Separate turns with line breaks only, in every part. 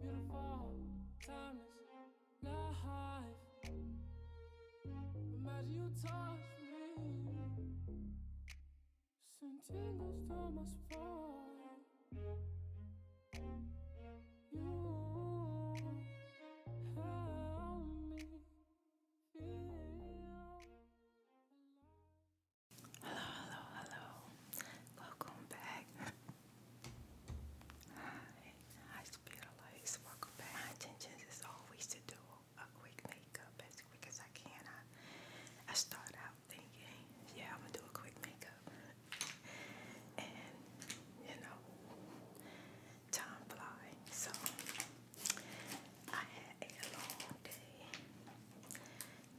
Beautiful, timeless, life. Imagine you Hello, hello, hello. Welcome back. Hi, hi Speeder Lights, welcome
back. My intention is always to do a quick makeup as quick as I can. I start out thinking, yeah, I'm gonna do a quick makeup. And, you know, time flies. So, I had a long day.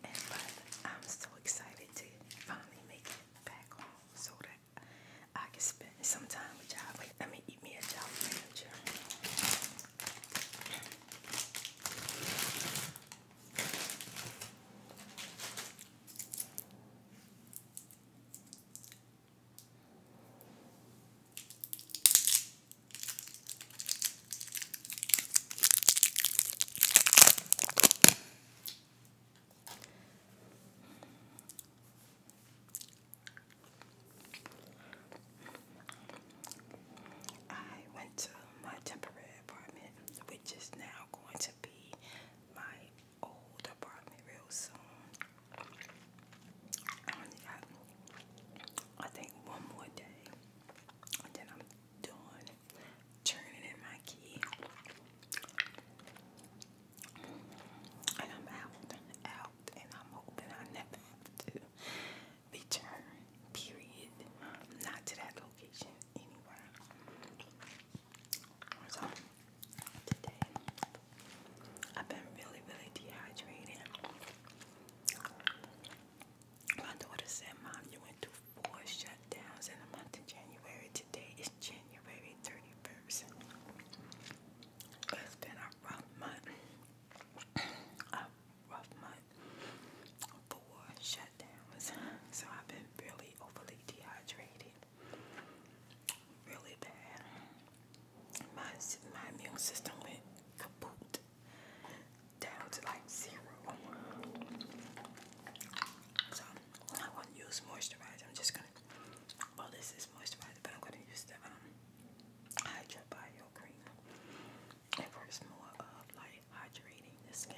And, but I'm so excited to finally make it back home so that I can spend some time with y'all. Like, I mean, eat me a job manager. I went to my temporary apartment, which is now going to be my old apartment real soon. I think, one more day, and then I'm done turning in my key. And I'm out out and I'm hoping I never have to return, period. Not to that location anywhere. So today I've been really, really dehydrated. My daughter said, Mom, you went through four shutdowns in the month of January today is January 31st. It's been a rough month. a rough month for shutdowns. So I've been really overly dehydrated. Really bad. My, my immune system went kaput. Down to like zero. So I want to use moisturizer. I'm just going to well, this is moisturizer, but I'm going to use the um, Cream. It works more of uh, like hydrating the skin.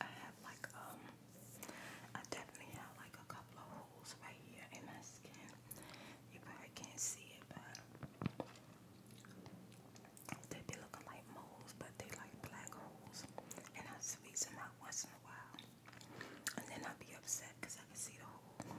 I have like um I definitely have like a couple of holes right here in my skin. You probably can't see it but they be looking like moles but they like black holes and I squeeze them out once in a while. And then I'll be upset I can see the hole.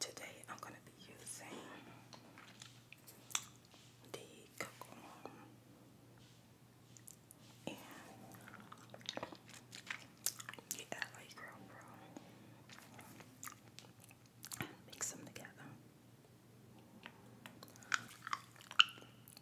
Today I'm going to be using the cocoon and the LA Girl Pro. Mix them together.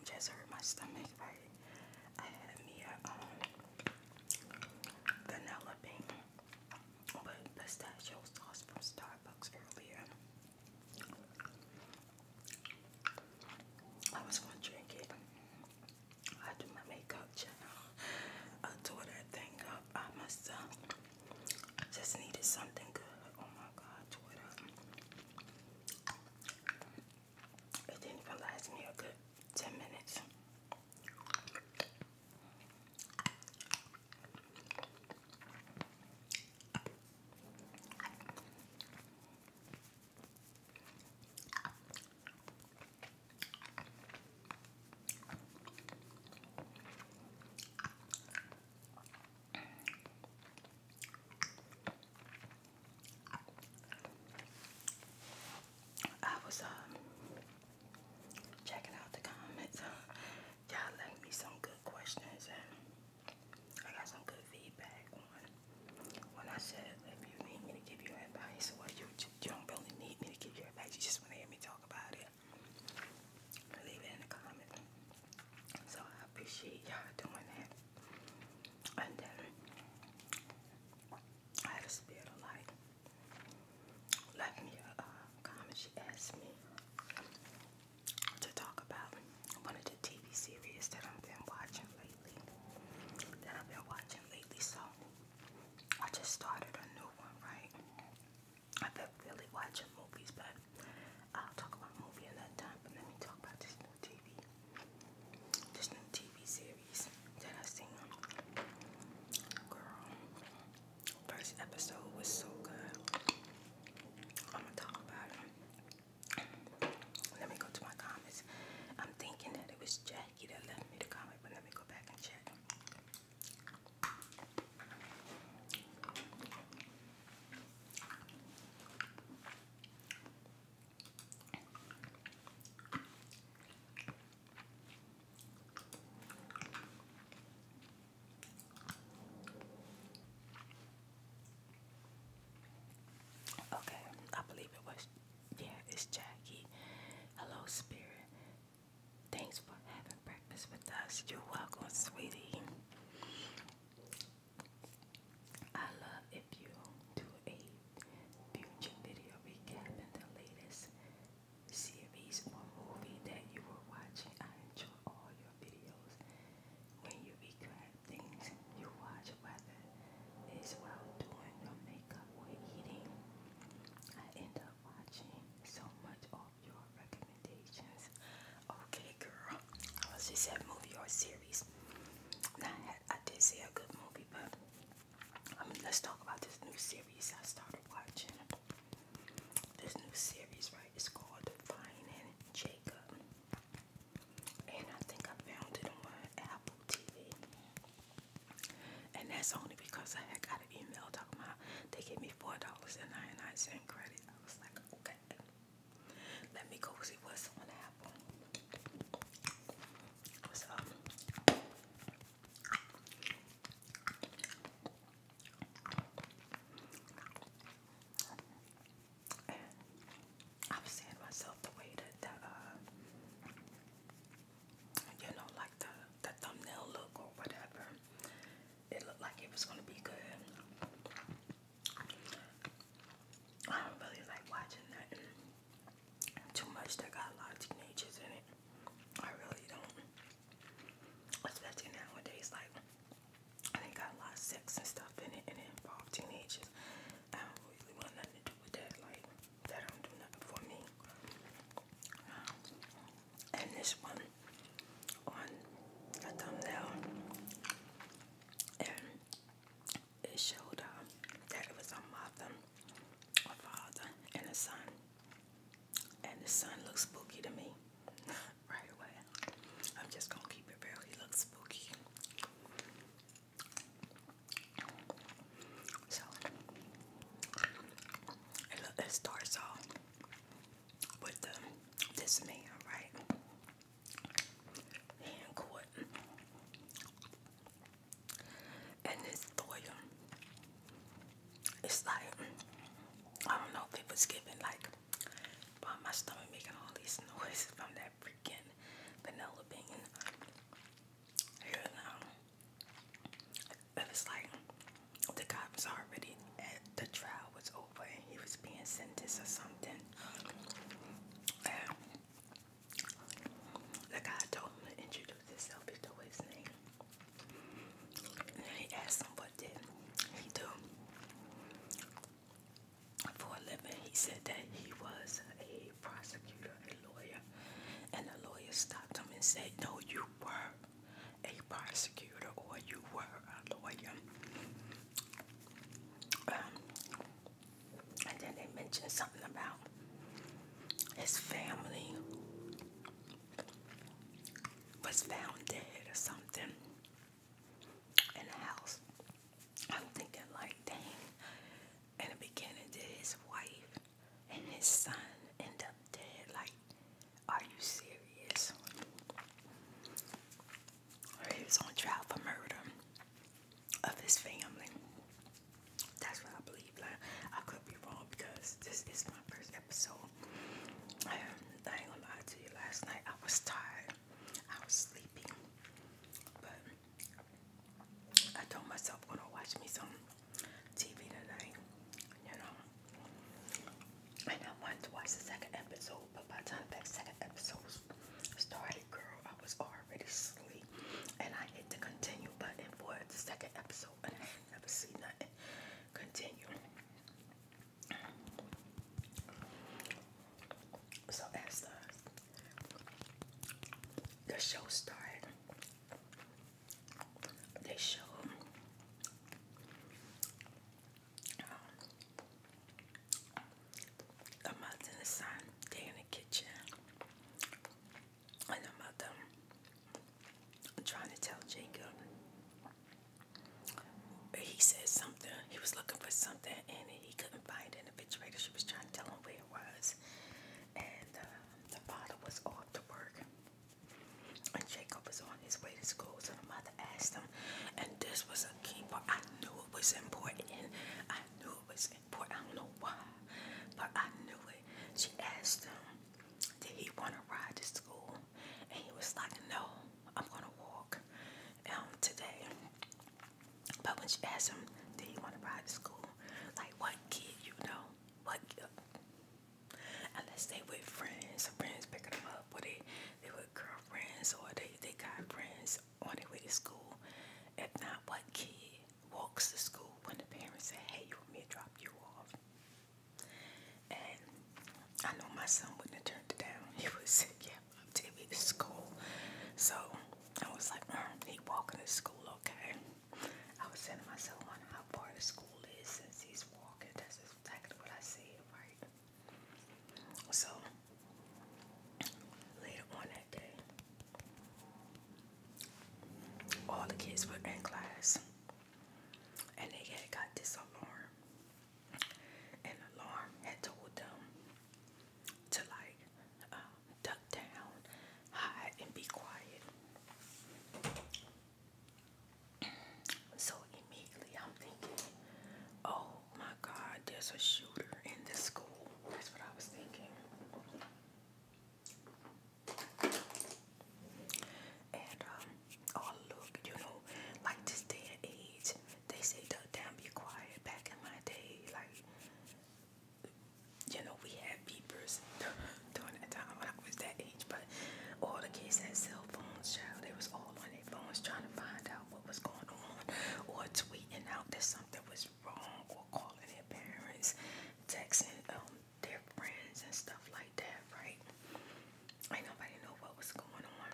It just hurt my stomach. I had me a um, vanilla pink with pistachio sauce from Starbucks earlier. I was gonna drink it. I do my makeup I tore that thing up. I must uh, just needed something good. Oh my God, Twitter. It didn't even last me a good 10 minutes. I was um, checking out the comments. Y'all left me some good questions and I got some good feedback when I said if you need me to give you advice or you, you don't really need me to give you advice, you just want to hear me talk about it. Leave it in the comment. So I appreciate y'all doing that. And then I had a spirit of light. Left me a uh, comment. She asked me to talk about one of the TV series that I've been watching lately. That I've been watching lately. So I just started a new one, right? I felt really watching movies, but I'll talk about a movie another time. But let me talk about this new TV, this new TV series that I seen. Girl, first episode was so good. I'm gonna talk about it. Let me go to my comments. I'm thinking that it was Jackie that left me the comment, but let me go back and check. Okay, I believe it was. Yeah, it's Jackie. Hello, Spirit. Thanks for having breakfast with us. You're welcome, sweetie. I love if you do a future video recapping the latest series or movie that you were watching. I enjoy all your videos. When you recap things you watch, whether it's while doing your makeup or eating, I end up watching so much or your recommendations. Okay, girl. I was just said movie or series. Now, I, had, I did say a good movie, but I um, mean, let's talk about this new series I started watching. This new series, right, is called Finding Jacob. And I think I found it on Apple TV. And that's only because I had email talking about they gave me four dollars and ninety nine cent credit. I was like, okay, let me go see what's gonna happen. I'm seeing myself the way that uh, you know, like the the thumbnail look or whatever it looked like it was gonna be good. I don't really like watching nothing too much that got a lot of teenagers in it. I really don't. Especially nowadays, like they got a lot of sex and stuff in it and it involved teenagers. I don't really want nothing to do with that, like that don't do nothing for me and this one on the thumbnail, and it showed uh, that it was a mother, a father, and a son. And the son looks spooky to me right away. I'm just gonna keep it real. He looks spooky. So it, it starts off with this man, right? Hand court. And this lawyer, it's like, I don't know if it was given, like, by my stomach making all these noises from that freaking vanilla bean. Here now, it was like the cops already at the trial was over and he was being sentenced or something. the guy told him to introduce himself, he told his name. And he asked him what did he do for a living. He said that he was a prosecutor, a lawyer, and the lawyer stopped him and said, No, you were a prosecutor or you were a lawyer. Um, and then they mentioned something about his family was found dead or something in the house. I'm thinking like, dang, in the beginning, did his wife and his son end up dead like are you serious? He was on trial for murder of his family. That's what I believe. Like, I could be wrong because this is my first episode. Um, I, ain't gonna lie to you. Last night I was tired. I was sleepy. But I told myself I'm gonna watch me some TV tonight. You know. I wanted to the second episode, but by time that second episode started, girl, I was already asleep. And I hit the continue button for the second episode, and I never seen nothing continue. So as the show started, they show um, a mother and a son, they in the kitchen, and the mother trying to tell Jacob. He said something. He was looking for something, and he couldn't find it in the refrigerator. She was trying to tell him where it was, and uh, the father was off to work. And Jacob was on his way to school, so the mother asked him, and this was a key part. I knew it was important, I knew it was important. I don't know why, but I knew it. She asked him, Did he want to ride to school? And he was like, No, I'm going to walk
um, today. But when she asked him, Did he want to ride to school? Like, what kid you know? What uh, Unless they with
friends, friends pick them up, or they they with girlfriends, or they they got friends on their way to school. If not, what kid walks to school when the parents say, "Hey, you want me to drop you off?" And I know my son wouldn't have turned it down. He would say, "Yeah, I'm taking me to school." So I was like, mm, "He walking to school, okay?" I was saying to myself, "Wonder how far the school is since he's walking." That's exactly what I said, right? So later on that day, all the kids were in class and they had got this alarm. An alarm had told them to like uh, duck down, hide, and be quiet. So immediately I'm thinking, oh my God, there's a shooter in this school. That's what I was thinking. And um, oh look, you know, like this day and age, they say duck down, be quiet. Back in my day, like you know, we had beepers during that time when I was that age, but all the kids had cell phones, child. They was all on their phones trying to find out what was going on or tweeting out that something was wrong or calling their parents, texting um, their friends and stuff like that, right? Ain't nobody know what was going on.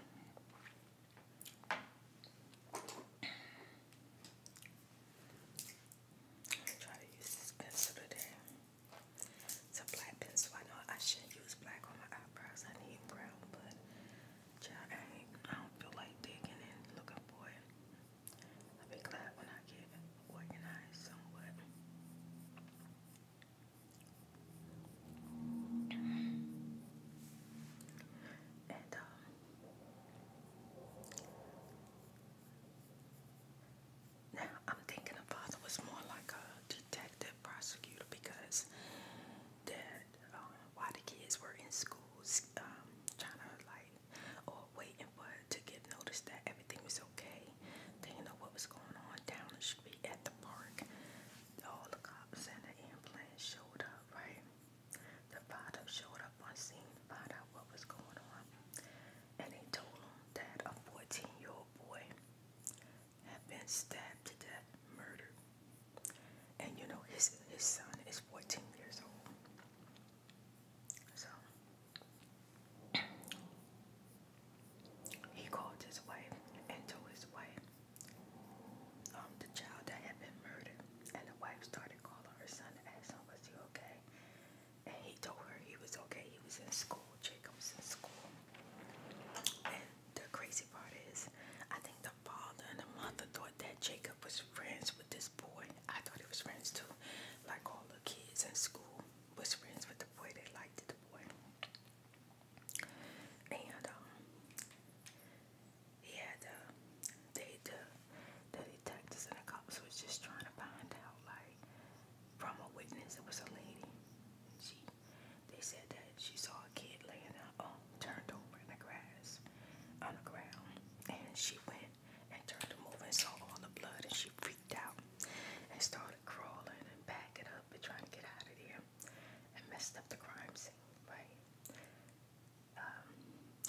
I'm try to use this pencil today. It's a black pencil. I know I shouldn't use black on my eyebrows. I need brown, but child, I, ain't, I don't feel like digging and Look up, boy. I'll be glad when I get organized somewhat. And um now I'm thinking about it was more like a detective prosecutor because that um, while the kids were in schools um, trying to like or waiting for to get noticed that everything was okay, they didn't know what was going on down the street at the park. All the cops and the ambulance showed up, right? The father showed up on scene to find out what was going on, and they told him that a 14-year-old boy have been stabbed to death, murdered. And you know, his, his son is 14 years old. So, he called his wife and told his wife um, the child that had been murdered. And the wife started calling her son to ask him, was he okay? And he told her he was okay. He was in school. Jacob's in school. And the crazy part is, I think the father and the mother thought that Jacob was friends with this boy. I thought he was friends too. Like all the kids in school was friends with the boy. They liked the boy. And um he had the uh, they the uh, the detectives and the cops was just trying to find out like from a witness it was a lady. She they said that she saw a kid laying out, um, turned over in the grass on the ground, and she went and turned him over and saw all the blood, and she freaked out and started crawling and backing up and trying to get out of there, and messed up the crime scene, right? Um,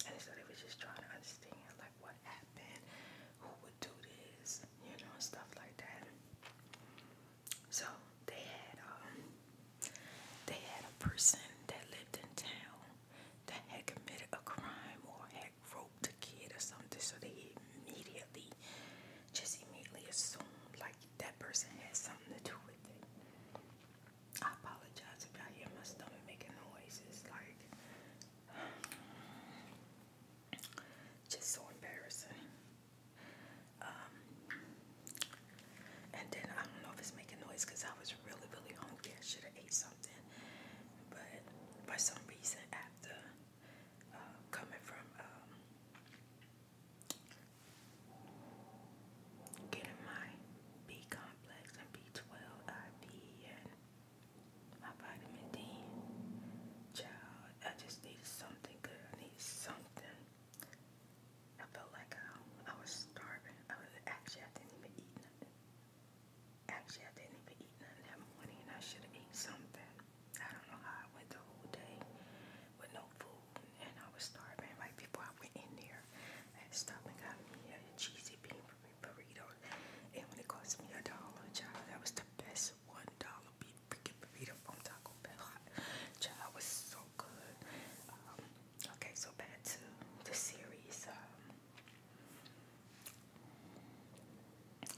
and so they were just trying to understand like what happened, who would do this, you know, and stuff like that. So they had um they had a person that lived in town that had committed a crime or had roped a kid or something. So they immediately just immediately assumed like that person had something to do with it. I apologize if y'all hear my stomach making noises like just so embarrassing. Um, and then I don't know if it's making noise because I was really, really hungry. I should have ate something, but for some reason, after uh, coming from um, getting my B complex and B12 IV and my vitamin D, child, I just needed something good. I need something I felt like um, I, was starving. I was actually I didn't even eat nothing. Actually, I didn't even eat nothing that morning, and I should have eaten something. I don't know how I went the whole day with no food, and I was starving. Right before I went in there, I stopped and got me a cheesy bean burrito, and when it cost me a dollar, child, that was the best one dollar beat freaking burrito from Taco Bell. Child was so good. okay, so back to the series.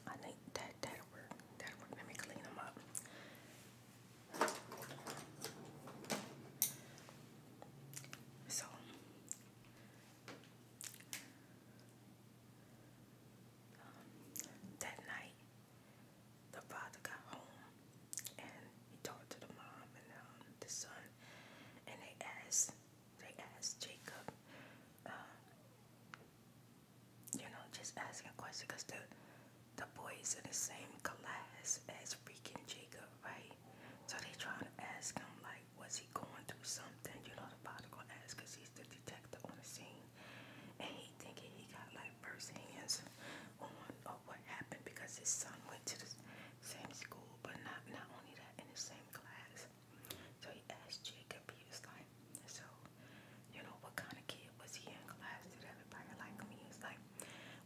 I think that that'll work. That'll work. Let me clean them up. So. that night, the father got home and he talked to the mom and um, the son, and they asked they asked Jacob, um, you know, just asking questions because the the boys in the same class as freaking Jacob, right? So they trying to ask him like, was he going through something? You know, the father gonna ask because he's the detective on the scene and he thinking he got like first hands on of what happened because his son went to the same school, but not not only that in the same class. So he asked Jacob, he was like, so you know what kind of kid was he in class? Did everybody like me? He was like,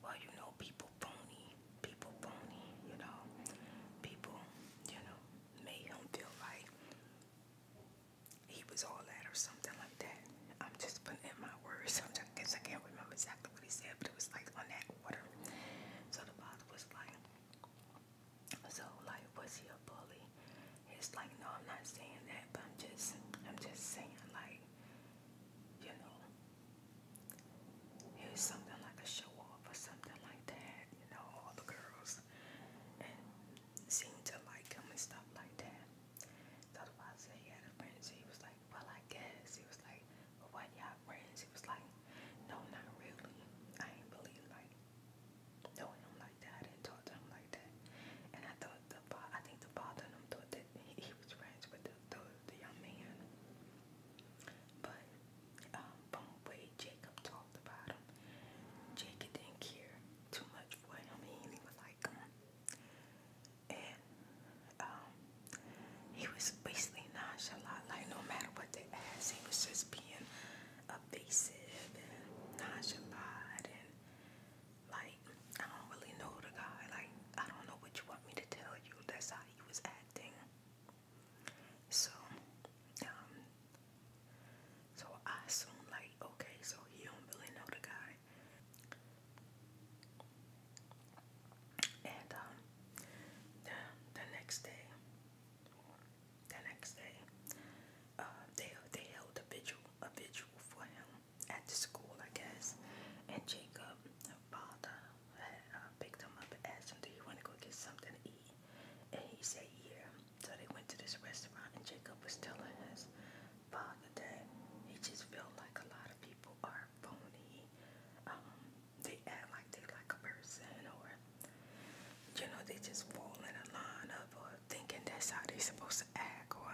well, you know, people phony, people phony, you know, people, you know, made him feel like he was all that or something like that. I'm just putting in my words. I guess I can't remember exactly what he said, but it was like on that order. So the father was like, so like, was he a bully? It's like, no, I'm not saying that, but I'm just, I'm just saying like, you know, he was something like a show off or something like that. You know, all the girls and seemed to like him and stuff like that. So the father said he had a friend. She was like, Well, I guess. He was like, Well, what y'all friends? He was like, No, not really. I ain't really like knowing him like that. I didn't talk to him like that. And I thought the father, I think the father and him thought that he, he was friends with the, the, the young man. But um, from the way Jacob talked about him, Jacob didn't care too much for him. He was like, Come on and um, he was basically nonchalant, like no matter what they asked, he was just being evasive and nonchalant and like I don't really know the guy, like I don't know what you want me to tell you. That's how he was acting. So, um, so I assume like, okay, so he don't really know the guy. And um, the, the next day, the next day, uh, they they held a vigil, a vigil for him at the school, I guess. And Jacob, father,
uh, picked him up and asked him, "Do you want to go get something to eat?" And he said, "Yeah." So
they went to this restaurant, and Jacob was telling his father that he just felt like a lot of people are phony. Um, they act like they like a person or you know, they just fall in a line of or uh, thinking that's how they supposed to act or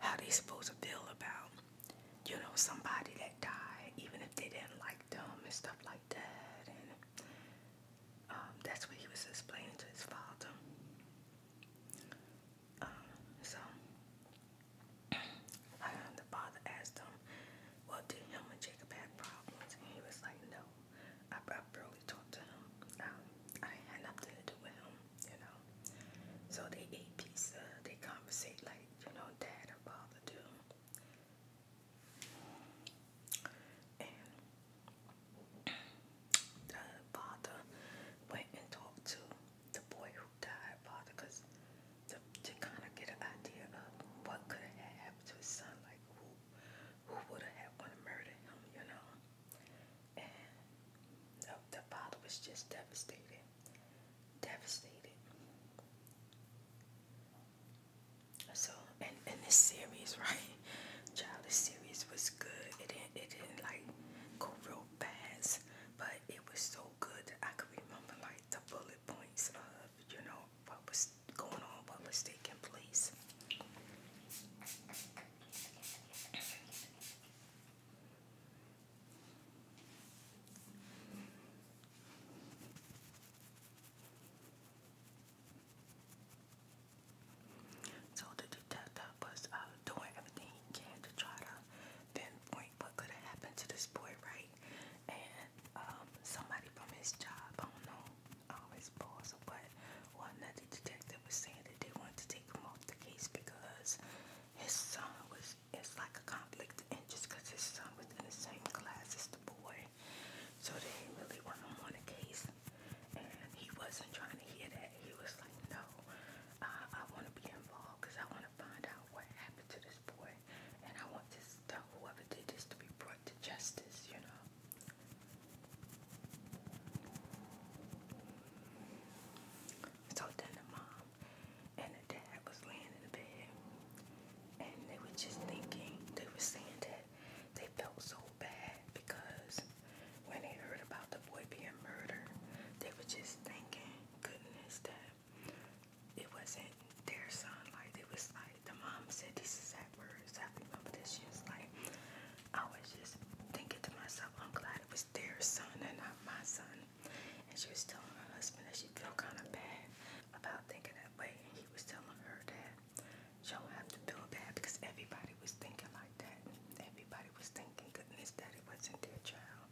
how they supposed to feel about, you know, somebody that died, even if they didn't like them and stuff like that. And um, that's what he was explaining to his father so the father asked him, Well, did him and Jacob have problems? And he was like, No, I, barely talked to him. Um, I had nothing to do with him, you know. So they ate pizza, they conversed like, you know, dad and father do. And the father went and talked to the boy who died father because to, to kind of get an idea of what could have happened to his son, like who who would have want to murder him, you know. And the, the father was just devastated, devastated. So, and, and this series, right? Child, this series was good. It didn't, it didn't like go real but it was so good I could remember like the bullet points of you know what was going on, what was taking place. So the detective was uh, doing everything he can to try to pinpoint what could have happened to this boy, right? And um, somebody from his job, I don't know, um, his boss or what, or another detective was saying that they wanted to take him off the case because his son was, it's like a conflict of interest because his son was in the same class as the boy. So they didn't really want him on the case. And he wasn't trying to hear that. He was like, no, I want to be involved because I want to find out what happened to this boy, and I want this to, whoever did this to be brought to justice. You know. So then the mom and the dad was laying in the bed, and they were just thinking. They were saying that they felt so bad because when they heard about the boy being murdered, they were just thinking, goodness, that it wasn't their son. Like, it was like, the mom said these exact words. I remember that she was like, I was just thinking to myself, I'm glad it was their son and not my son. And she was telling her husband that she felt kind of bad about thinking that way. And he was telling her that she don't have to feel bad because everybody was thinking like like that. Everybody was thinking, goodness, that it wasn't their child.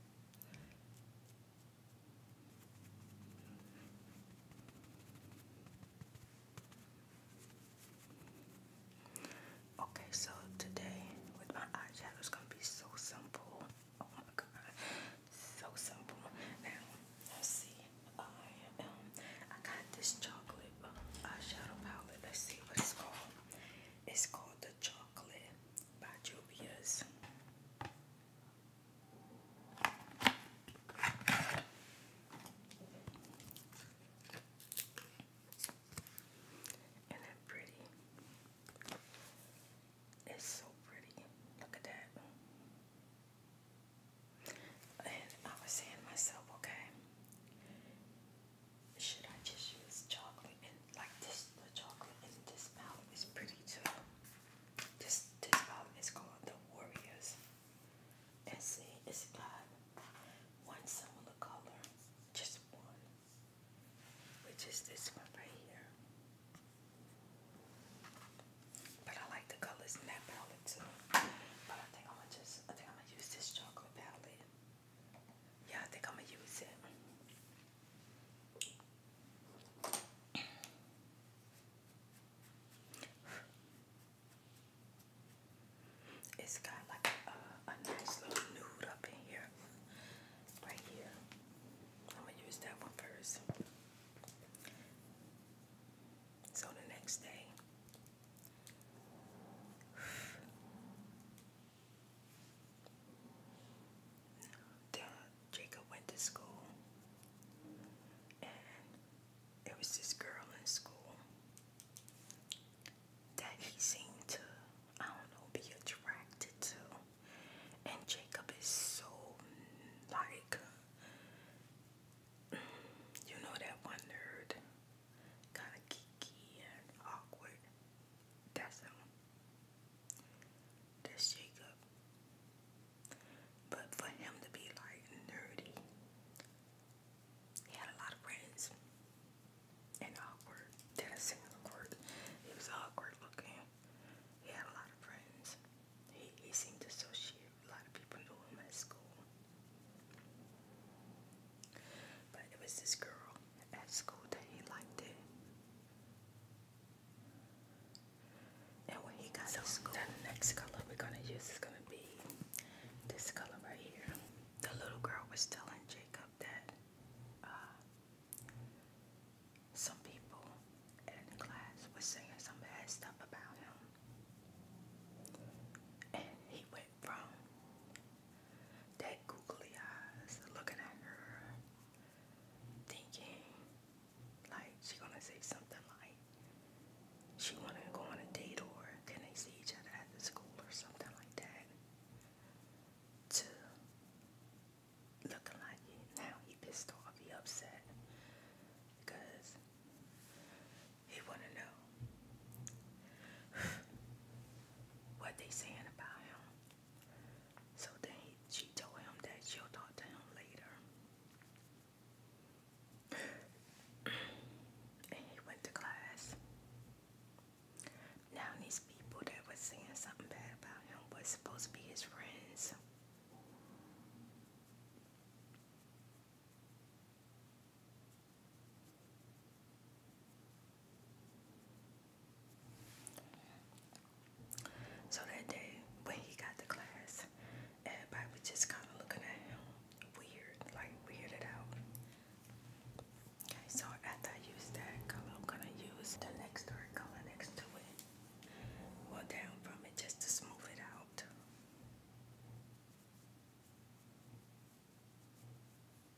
Okay, so today with my eyeshadow is gonna be so simple. Oh my god, so simple. Now let's see. I um I got this chocolate uh, eyeshadow palette. Let's see what it's called. It's called The Chocolate by Juvia's.
Isn't that pretty? It's so pretty. Look at that. And I was saying myself, okay, should I just use chocolate and like this the chocolate and this palette is
pretty too. This this palette is called the Warriors. And see it's not one similar color, just one. Which is this one right here. But I like the colors in that palette too. But I think I'm gonna just I think I'm gonna use this chocolate palette. Yeah, I think I'm gonna use it. It's got like a, nice little nude up in here, right here. I'm gonna use that one first. So the next day, Jacob went to school, and there was this girl in school that he seemed to, I don't know, be attracted to. And Jacob is so like, you know, that one nerd, kind of geeky and awkward. That's all. That's Jacob. But for him to be like nerdy, he had a lot of friends. And awkward. That is awkward. He was awkward looking. He had a lot of friends. He, he seemed to associate. A lot of people knew him at school. But it was this girl at school that he liked it. so the next color we're gonna use is gonna be this color right here. The little girl was telling Jacob that uh, some people in class was saying some bad stuff about him, and he went from that googly eyes looking at her, thinking like she gonna say something like she wanna go on a date or can they see each other at the school or something like that. To looking like it. Now he pissed off, he upset because he wanna know what they saying about him. So then she told him that she'll talk to him later. and he went to class. Now these people that were saying something bad about him was supposed to be his friends. So that day when he got to class, everybody was just kind of looking at him weird, like weirded out. Okay, so after I use that color, I'm gonna use the next dark color next to it. Well, down from it just to smooth it out. I'm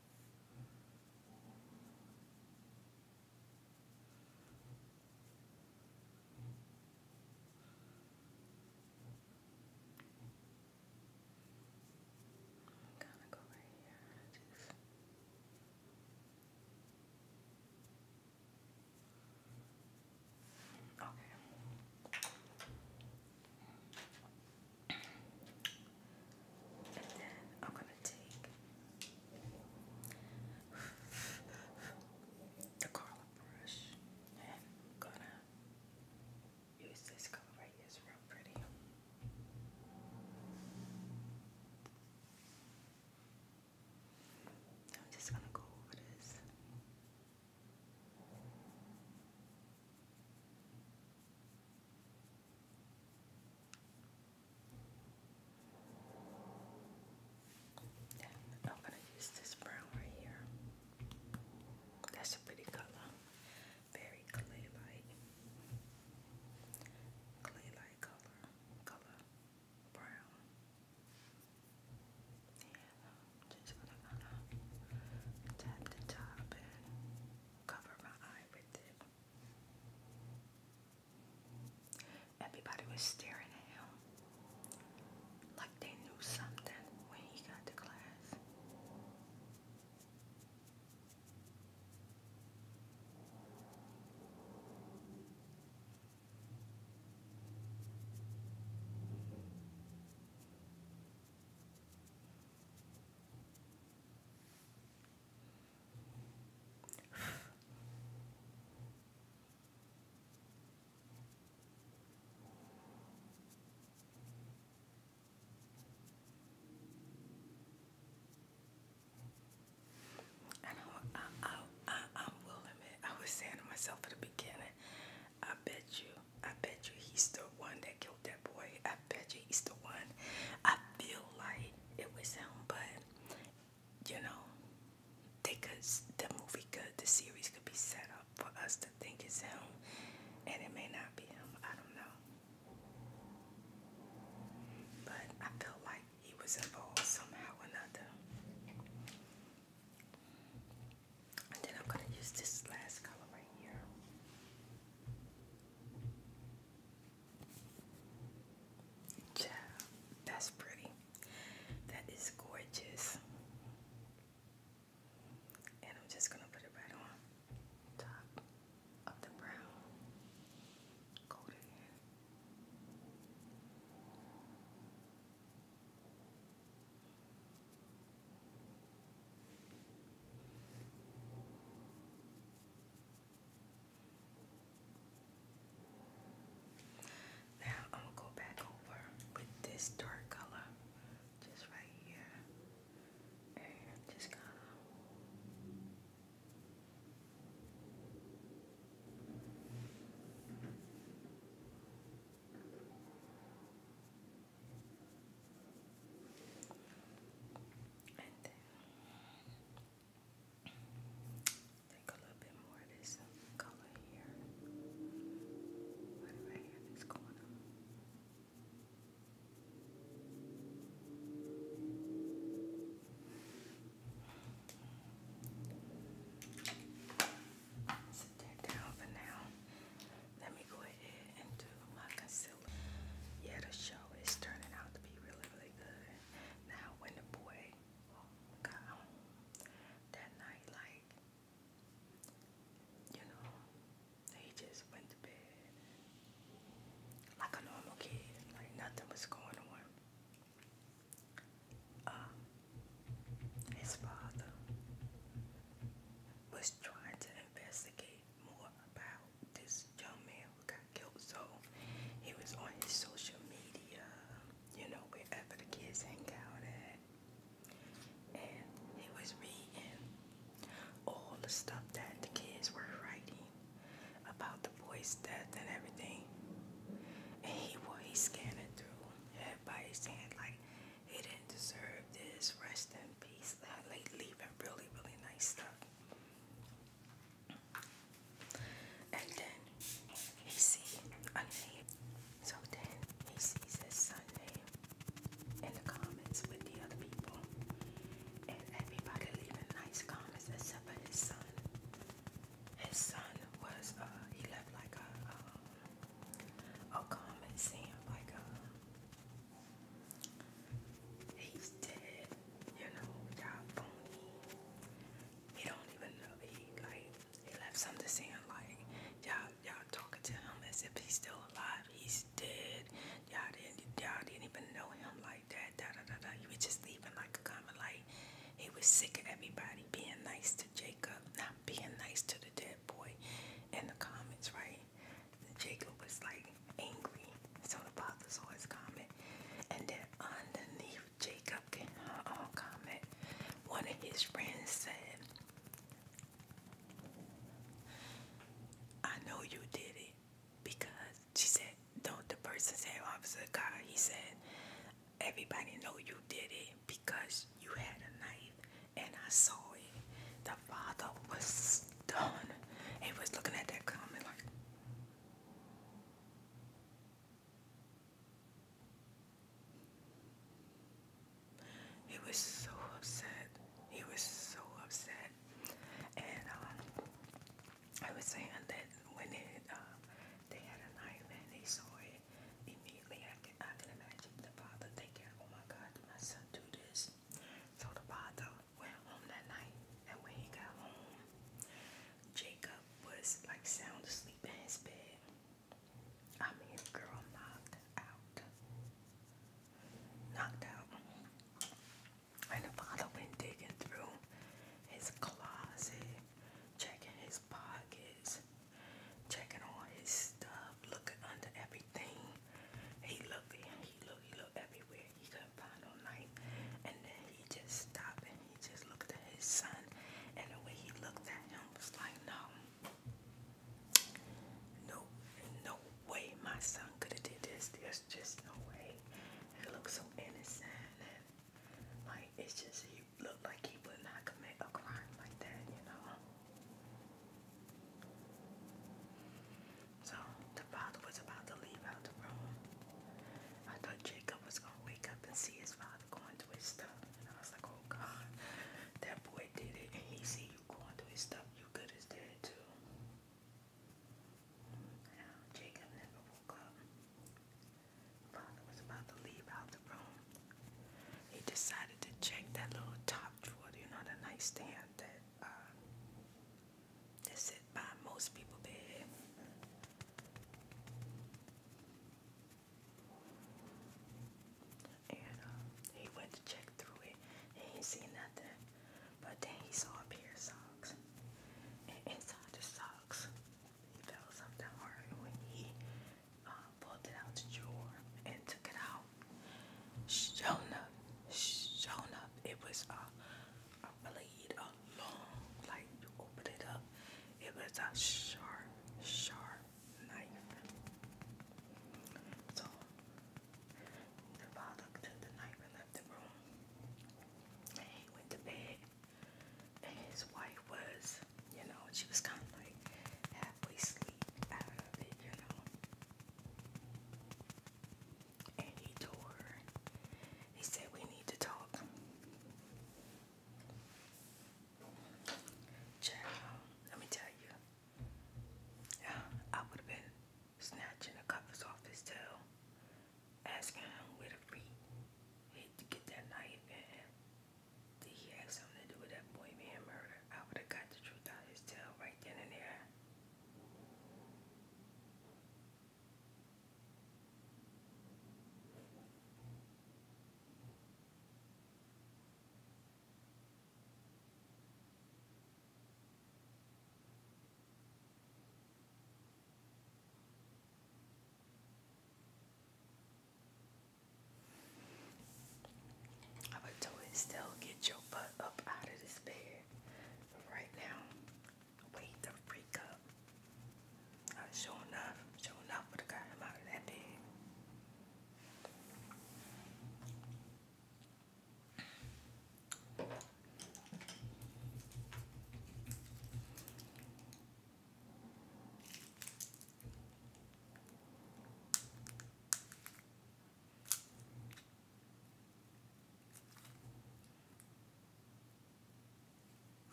gonna go right here and just Okay. And then I'm going to take the color brush and going to use this color right here. It's real pretty. I'm just going to go over this. I'm gonna use this brown right here. That's a pretty color. Very clay light. Clay light color. Color brown. And just gonna tap the top and cover my eye with it. Everybody was staring at him like they knew something when he got to class. I am willing it. I was saying to myself at the beginning, I bet you, I bet you he's the one that killed that boy. I bet you he's the one. I feel like it was him, but you know, they the movie could the series could be set up for us to think it's him, and it may not be him. I don't know, but I feel like he was involved somehow or another. And then I'm gonna use this last color right here. Child, that's pretty. That is gorgeous. And I'm just going to put it right on top of the brown. Coat now I'm gonna go back over with this dark color just right here just kind of Take a little bit more of this color here.
Right right here in this corner. Sit that down for now. Let me go ahead and do my concealer. Yeah, the show is turning out to be really, really good. Now, when
the boy oh, got home that night, like, you know, he just went to bed like a normal kid, like nothing was going on. Uh, his father was trying to investigate more about this young man who got killed. So he was on his social media, you know, wherever the kids hang out at. And he was reading all the stuff that the kids were writing about the boy's death and everything. And he well, he scanned it through. Everybody saying like he didn't deserve this, rest in peace. Like leaving really, really nice stuff. And then he sees a name. So then he sees his son name in the comments with the other people. And everybody leaving nice comments except for his son. His son was, uh, he left like a, um, a comment saying like, uh, he's dead you know, y'all phony. He don't even know. He like he left something saying like y'all y'all talking to him as if he's still alive. He's dead. Y'all didn't y'all didn't even know him like that. Da da da da. He was just leaving like a comment like he was sick of everybody being nice to Jacob, not being nice to the dead boy in the comments, right? And Jacob was like, angry. So the father saw comment. And then underneath Jacob can uh, comment, one of his friends said, I know you did it because she said, don't the person say officer God, he said, everybody know you did it because you had a knife and I saw it. The father was stunned. He was looking at that comment like he was so upset. He was so upset. And uh, I was saying that when it, uh, they had a nightmare and they saw it, immediately I can, I can imagine the father thinking, oh my God, my son do this? So the father went home that night, and when he got home, Jacob was like sound asleep in his bed. I mean, girl knocked out. Knocked out. And the father went digging through his closet, checking his pockets, checking all his stuff, looking under everything. He looked, he looked, he looked everywhere. He that final night. And then he just stopped and he just looked at his son. And the way he looked at him was like, no, no, no way my son could have did this. There's just no way. He looked so innocent like it's just he looked like he would not commit a crime like that, you know. So the father was about to leave out the room. I thought Jacob was gonna wake up and see his father going through his stuff. And I was like, oh God, that boy did it. And he see you going through his stuff. You good as dead too. Now, Jacob never woke up. Father was about to leave out the room. He decided to check that little top drawer, you know, the nightstand that uh, that sit by most people bed. And uh, he went to check through it he didn't nothing. But then he saw a pair of socks. And inside the socks, he felt something hard. And when he uh, pulled it out the drawer and took it out, shown up, shown up, it was a blade, long, like you open it up. It was a sharp, sharp knife. So the father took the knife and left the room. And he went to bed. And his wife was, you know, she was kind of like halfway asleep you know. And he told he said, We need to talk. let me tell you, I would have been snatching the covers
off his tail, asking him where to be. He to get that knife and
did he have something to do with that boy being murdered? I would have got the truth out his tail right then and there. I would do it still get your butt up out of this bed right now wake the freak up. Uh, sure enough, sure enough would have got him out of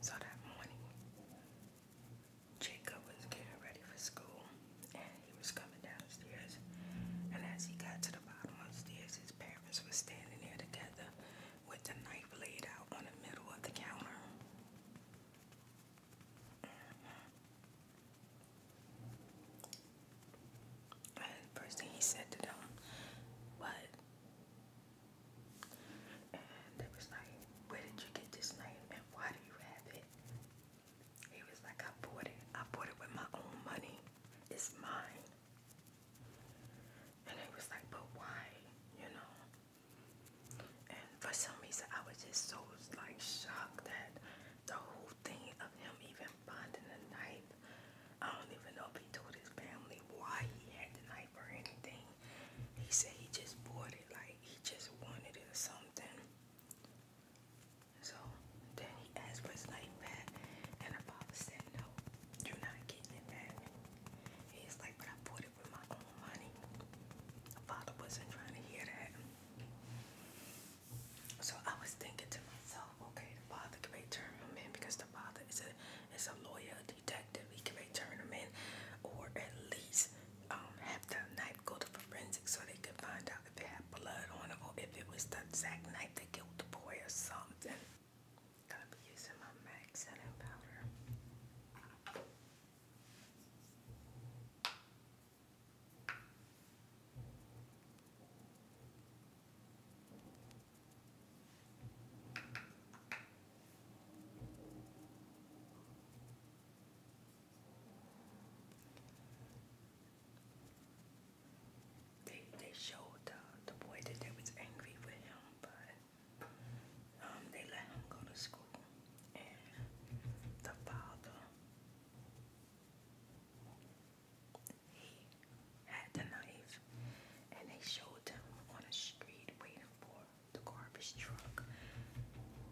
so that morning, Jacob was getting ready for school and he was coming downstairs. And as he got to the bottom of the stairs, his parents were standing there together with the knife laid out on the middle of the counter. And the first thing he said to them, "What?" And they was like, "Where did you get this name? And why do you have it?" He was like, "I bought it. I bought it with my own money. It's mine." And they was like, "But why? You know?" And for some reason, I was just so like shocked that the whole thing of him even and finding a knife. I don't even know if he told his family why he had the knife or anything. He said he just bought it, like he just wanted it or something. So then he asked for his knife back, and the father said, No, you're not getting it back. He's like, But I bought it with my own money. The father wasn't trying to hear that. So I was thinking to myself, okay, the father can turn him in because the father is a is a lawyer, a detective. He can turn him in, or at least um, have the knife go to forensics so they could find out if it had blood on it or if it was the exact knife that killed the boy or something. Gonna be using my MAC setting powder. They they showed the uh, the boy that they was angry with him, but um, they let him go to school and the father he had the knife and they showed him on the street waiting for the garbage truck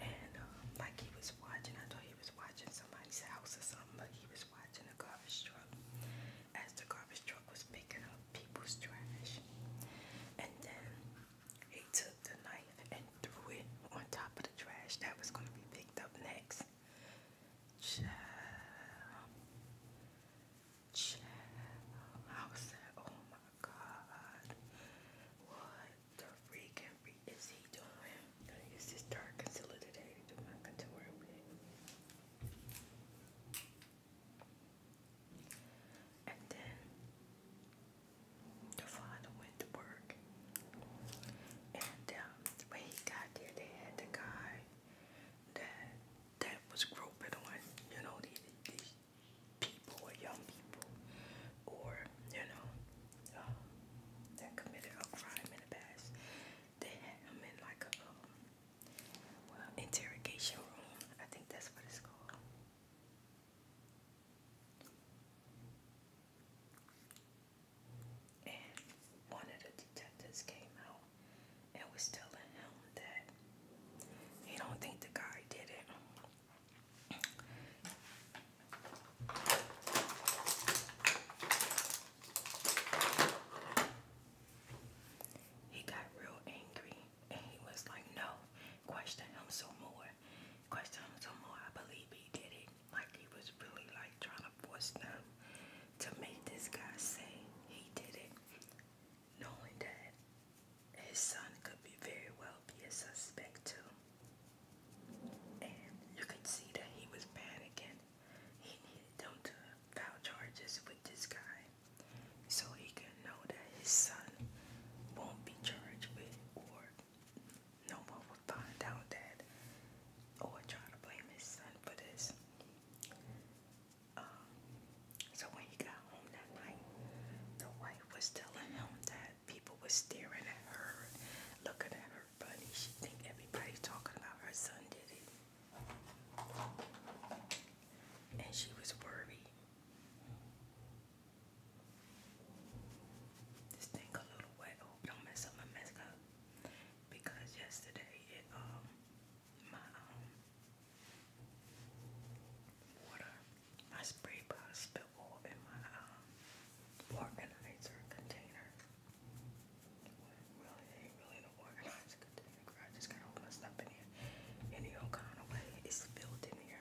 and um, like he was watching I thought he was watching somebody's house or something but he was watching the garbage truck
as the garbage truck was picking up people's trash and then
he took the knife and threw it on top of the trash that was going to be picked up next Chill. Chill. I was like, oh my god. What the freaking freak is he doing? I'm gonna use this dark concealer today to do my contour with. And then the father went to work and um, when he got there, they had the guy that that was groping on, you know, these, people or young people, or you know, um, that committed a crime in the past. They had him in like a um, well, interrogation room. I think that's what it's called. And one of the detectives came out and was telling him that he don't think the guy did it. He got real angry and he was like, No, question him some more. Question him some more. I believe he did it like he was really like trying to force them to make this guy say he did it, knowing that his son could be very well be a suspect too.
And you could see that he was panicking. He needed them to file charges
with this guy so he can know that his son won't be charged with or no one find out that or oh, try to blame his son for this. Um, so when he got home that night, the wife was telling him that people were staring at her, looking at her funny. She think everybody's talking about her son did it. And she was worried. This thing a little wet. Oh, don't mess up my makeup because yesterday it um my um water my spray bottle spilled all in my um organizer container. Well, it ain't really no organizer container. I just got all my stuff in here. Any old kind of way, it spilled in here.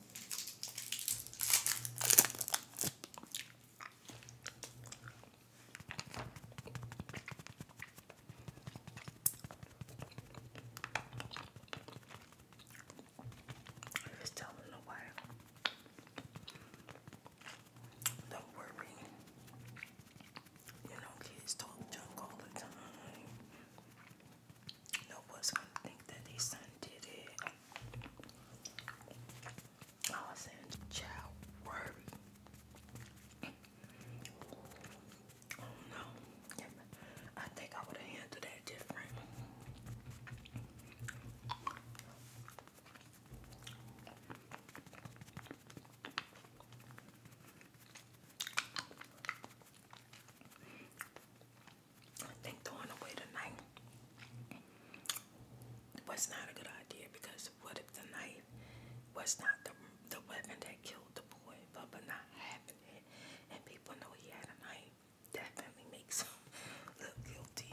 I was telling a while. Don't worry. You know, kids talk junk all the time. Nobody's gonna think that they son did it. Oh, I was saying, child, worry. Oh no, I think I would have handled that different. I think throwing away the knife was not a good idea because what if the knife was not the, the weapon that killed the boy, but but not having it, and people know he had a knife definitely makes him look guilty.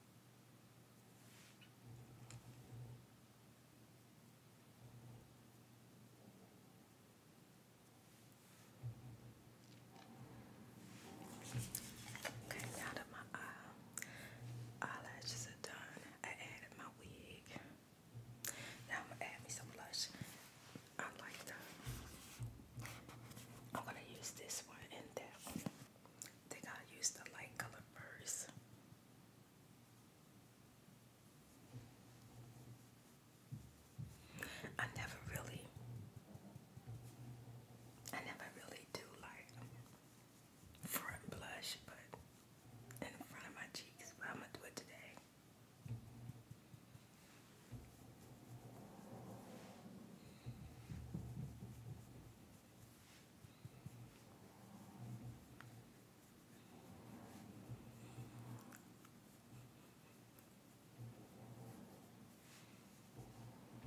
Okay, now that my uh, eyelashes are
done, I added my wig. Now I'm gonna add me some blush. I like the. I'm gonna use this one in there. I think I'll the light color first. I never really, I never really do like front blush, but in front of my cheeks, but I'm gonna do it today.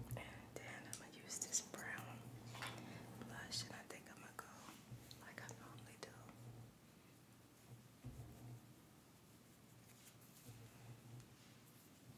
And then I'm gonna use this brown blush, and I think I'm gonna go like I normally do.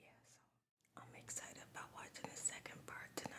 Yeah, so I'm excited about watching the second part tonight.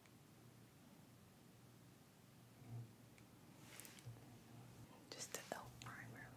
Just the L primer.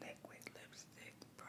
Mac Retro Liquid Lipstick Brown.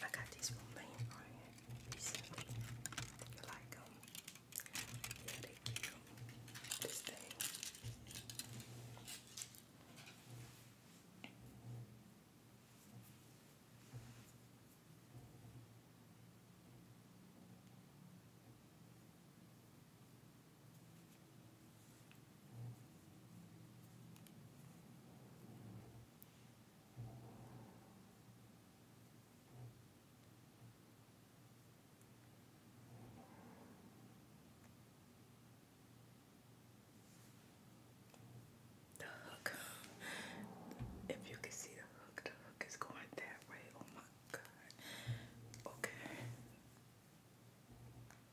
I got these from Mainland recently. You like um, them? This thing.
The hook. If you can see the hook, the hook is going that way. Oh my god. Okay.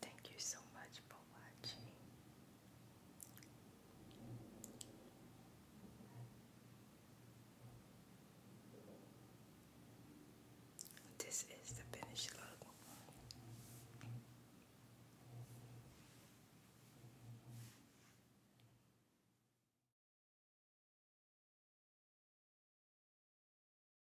Thank you so much for watching. This is the finished look.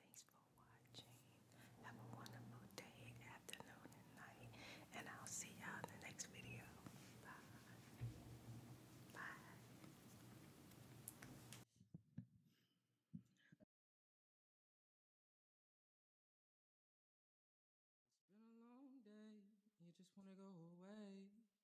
Thanks for watching. Have a wonderful day, afternoon, and night. And I'll see y'all in the next video. Bye. Bye.
It's been a long day. You just want to go away.